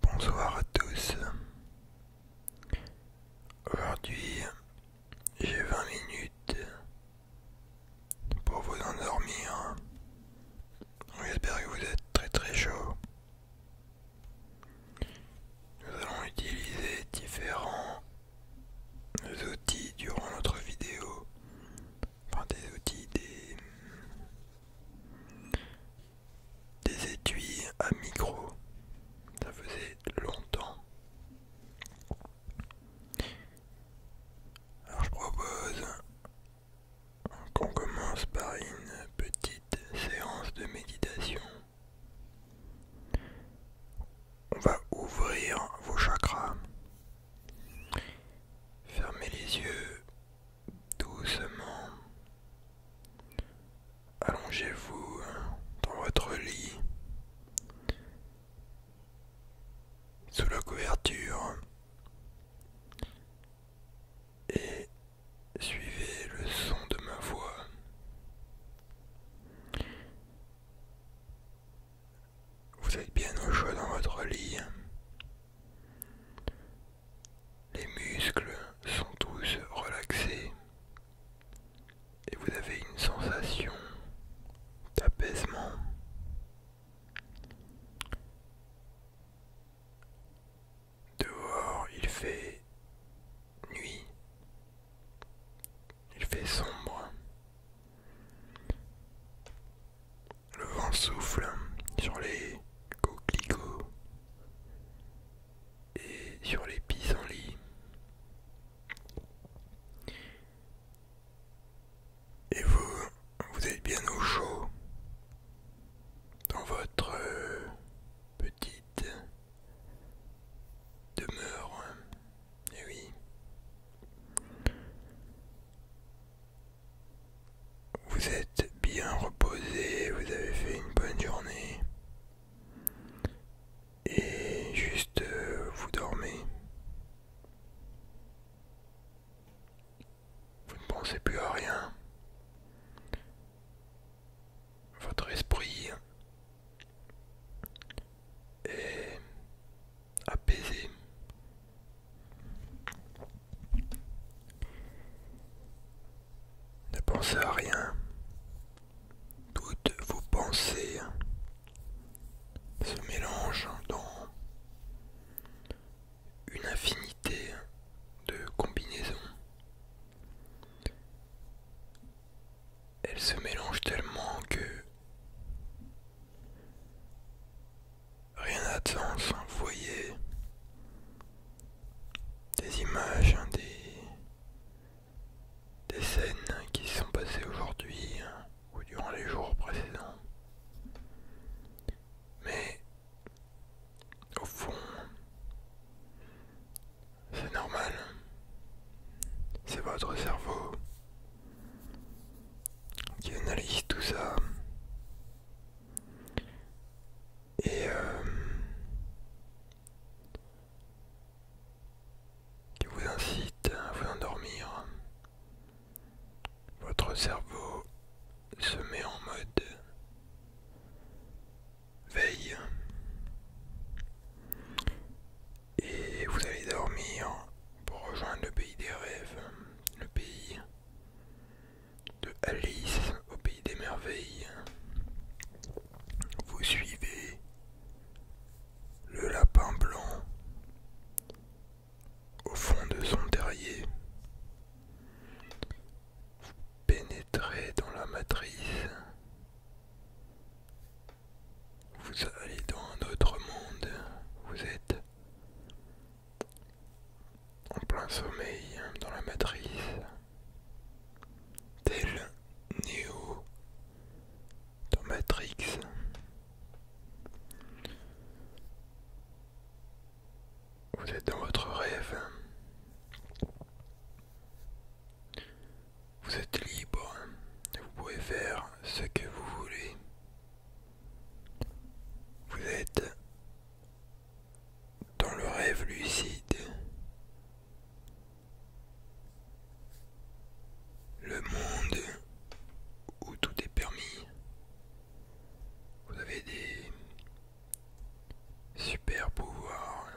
Bonsoir à tous. Aujourd'hui, j'ai 20 minutes pour vous endormir. J'espère que vous êtes très très chaud. Nous allons utiliser différents outils durant notre vidéo. Enfin des outils, des des étuis à micro, ça faisait longtemps. Alors je propose qu'on commence par une petite séance de méditation. On va ouvrir vos chakras. Fermez les yeux doucement. Allongez-vous hein, dans votre lit sous la couverture et suivez le son de ma voix. Vous êtes bien au chaud dans votre lit. Les muscles sont tous relaxés et vous avez une sensation d'apaisement. Dehors, il fait nuit. Il fait sombre. Le vent souffle sur les coquelicots et sur les pissenlits. Et vous, vous êtes bien au chaud dans votre euh, petite demeure. eh oui. Vous êtes bien reposé, vous avez fait une bonne journée. Et juste euh, vous dormez. Vous ne pensez plus à rien. Votre esprit est apaisé. Ne pensez à rien. Toutes vos pensées se mélangent dans une infinité de combinaisons. Elles se mélangent tellement que Rien à sens. vous voyez des images, hein, des, scènes qui se sont passées aujourd'hui hein, ou durant les jours précédents. Mais au fond, c'est normal. C'est votre cerveau qui analyse tout ça. Et euh, qui vous incite à vous endormir. Votre cerveau se met en mode veille et vous allez dormir pour rejoindre le pays des rêves le pays de Alice au pays des merveilles. Vous suivez le lapin blanc au fond de son terrier. Vous pénétrez dans la matrice. Vous allez dans un autre monde. Vous êtes en plein sommeil dans la matrice, tel néo dans Matrix. Vous êtes dans votre rêve. Vous êtes libre. Vous pouvez faire ce que vous voulez. Vous êtes dans le rêve lucide. Le monde où tout est permis. Vous avez des super pouvoirs.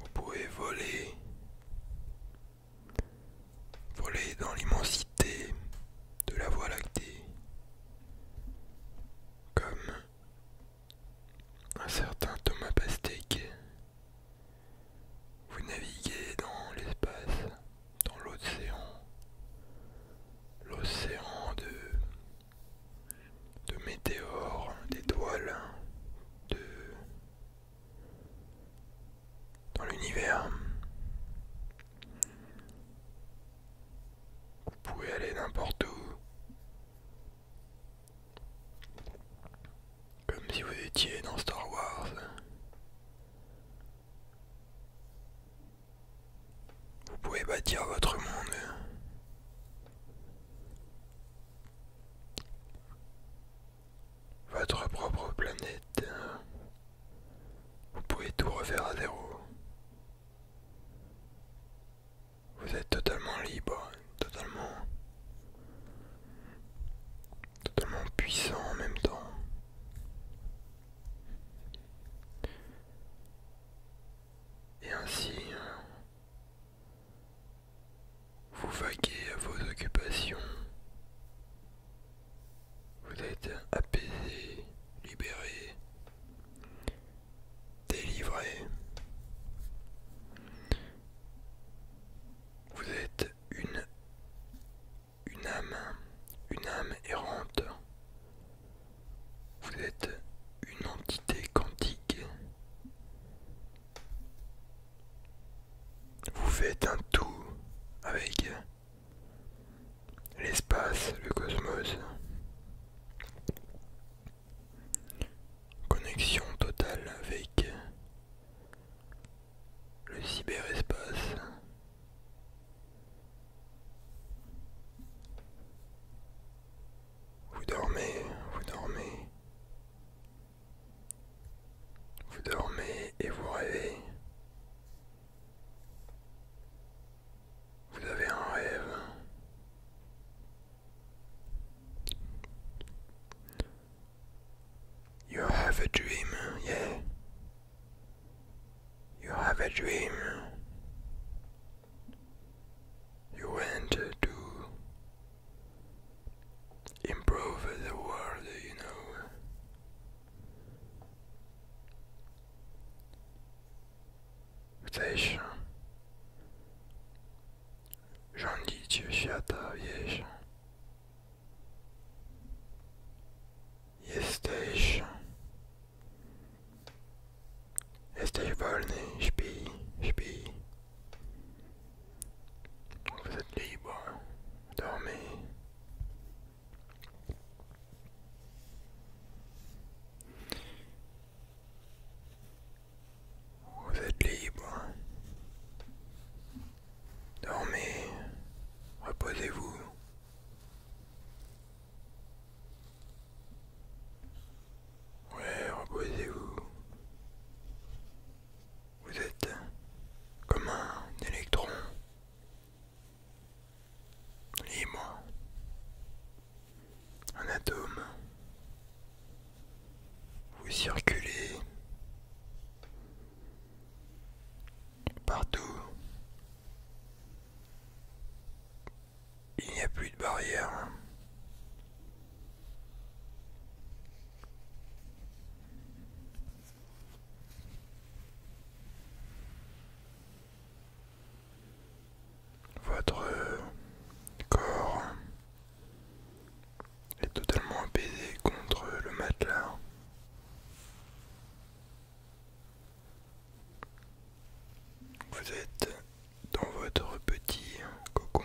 Vous pouvez voler. Voler dans l'immensité de la Voie lactée, comme un certain Thomas Pastèque, vous naviguez dans l'espace, dans l'océan, l'océan de, de météores, d'étoiles, de dans l'univers. Vous pouvez aller n'importe où. Comme si vous étiez dans Star Wars. Vous pouvez bâtir votre monde votre propre planète. Hein. Vous pouvez tout refaire à zéro. Vous êtes totalement libre, totalement, totalement puissant en même temps. Et ainsi, hein, vous vaguez à vos occupations. Vous êtes apaisé, libéré, délivré. Vous êtes une, une âme, une âme errante. Vous êtes une entité quantique. Vous faites un tout avec l'espace, le cosmos. Connexion totale avec le cyberespace. Vous dormez, vous dormez. Vous dormez et vous rêvez. Vous avez un rêve. You have a dream, yeah. You have a dream. You went to improve the world, you know. Chcę jeszcze świata, wiesz. Jesteś. Jesteś wolny, śpi, śpi. Vous êtes libre, dormez. Vous êtes libre. Dormez, reposez-vous. Oui, reposez-vous. Vous êtes comme un électron libre, un atome. Vous circulez partout. Il n'y a plus de barrière. Votre euh, corps est totalement apaisé contre le matelas. Vous êtes dans votre petit cocon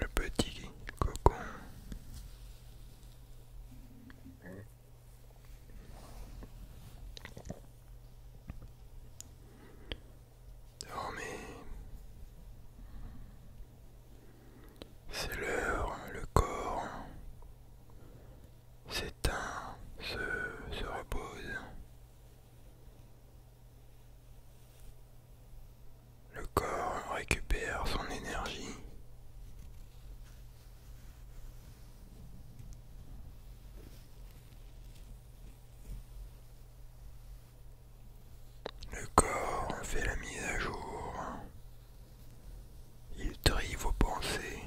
le petit cocon. Dormez. C'est l'heure, le corps s'éteint, se, repose. Le corps récupère son énergie. Le corps fait la mise à jour il trie vos pensées.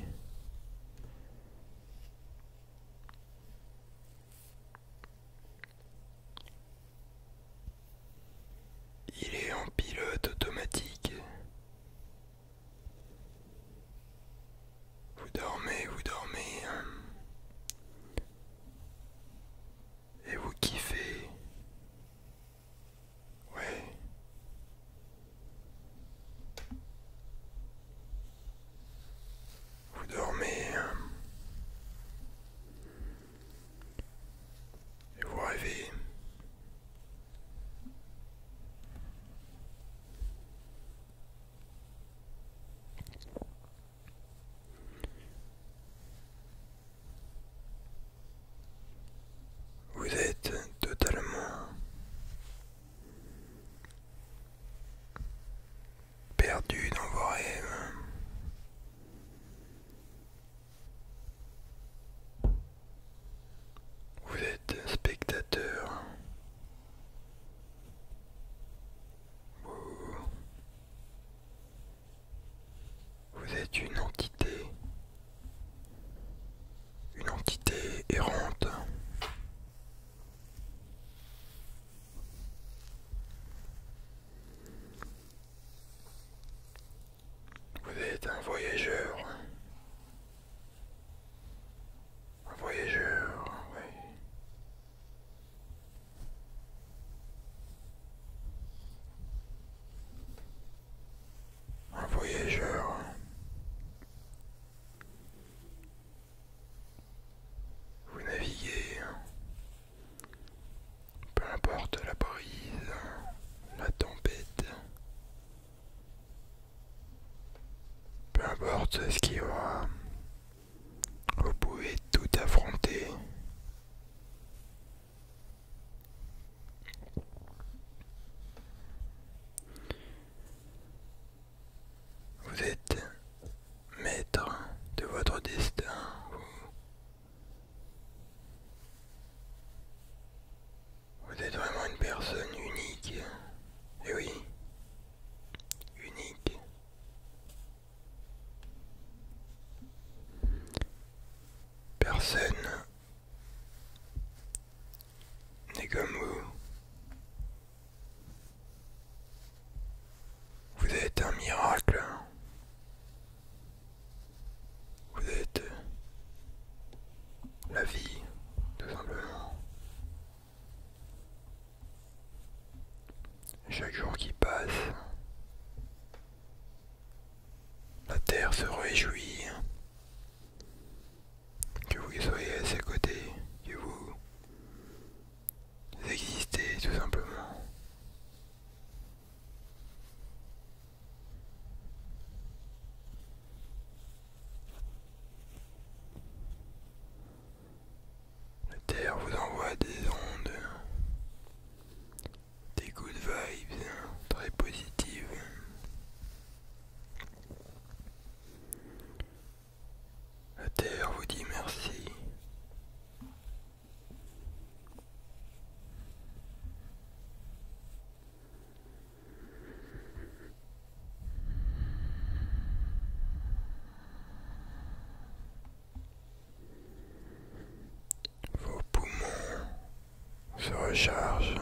Il est en pilote automatique. Vous dormez, vous dormez. Hein. Et vous kiffez. Oui. Vous dormez hein. et vous rêvez. Vous êtes totalement perdu dans vos rêves. Vous êtes spectateur. Vous êtes une entité, une entité errante. Vous êtes un voyageur. Un voyageur, oui un voyageur. Vous naviguez, peu importe la brise, la tempête, peu importe ce qu'il y aura, vous pouvez tout affronter vous êtes maître de votre destin. Vous, êtes vraiment une personne unique. Et eh oui, unique. Personne n'est comme vous. Vous êtes un miracle. Vous êtes la vie, tout simplement. Chaque jour qui passe, la terre se réjouit que vous soyez à ses côtés, que vous existez tout simplement. La terre vous envoie des ondes des de vibes hein, très positifs. La terre vous dit merci. Vos poumons se rechargent.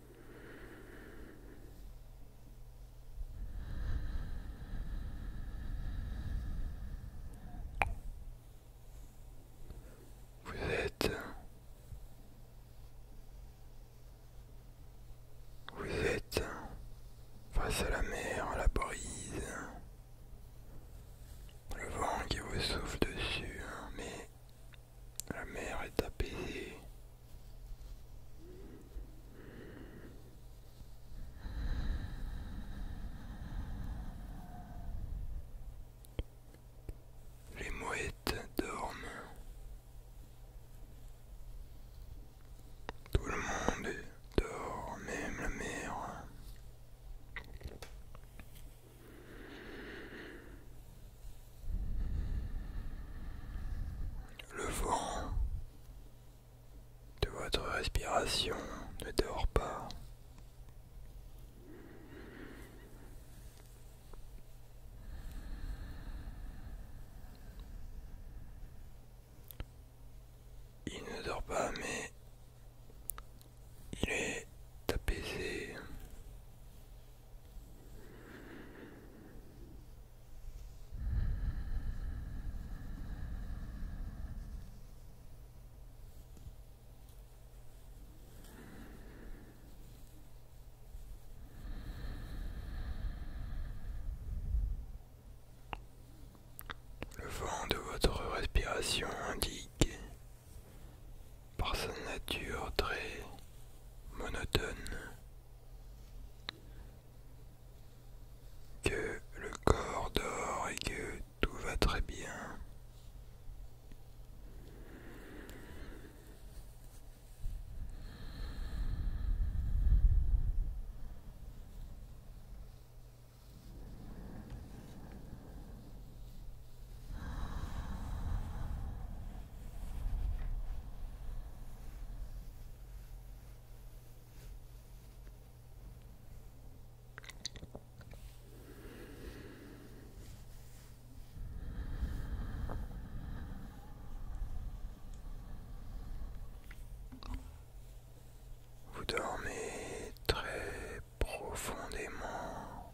Vous êtes vous êtes face à la mer, à la brise, le vent qui vous souffle dessus, hein, mais la mer est apaisée, les mouettes dorment. Tout le monde dort, même la mer. Le vent de votre respiration ne dort pas. Il ne dort pas, mais il est apaisé. Le vent de votre respiration indique, par sa nature très monotone, que le corps dort et que tout va très bien. Vous dormez très profondément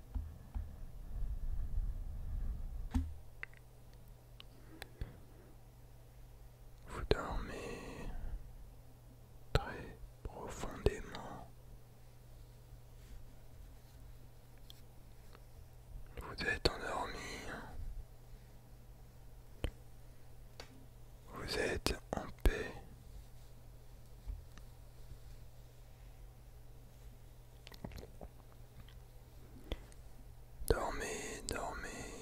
Vous dormez très profondément. Vous êtes endormi. Vous êtes en paix. Dormez, dormez.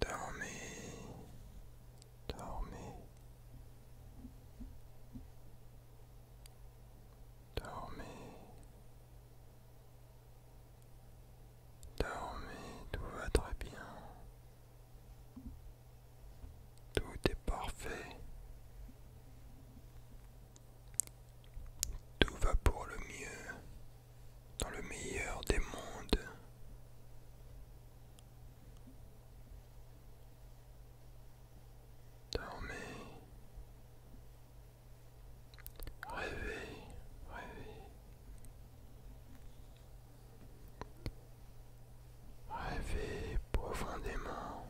Dormez, dormez. Dormez. Dormez, tout va très bien. Tout est parfait. Tout va pour le mieux, dans le meilleur des mondes. Dormez. Rêvez, rêvez. Rêvez profondément.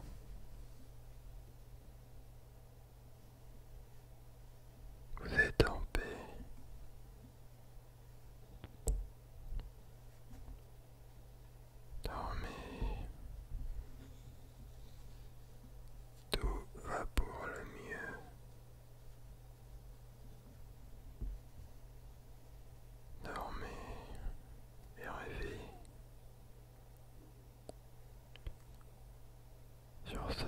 Vous êtes en paix. Dormez. Tout va pour le mieux. Dormez et rêvez. Sur ce,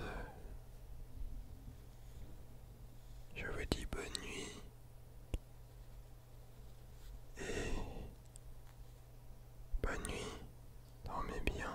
je vous dis bonne nuit et bonne nuit, dormez bien.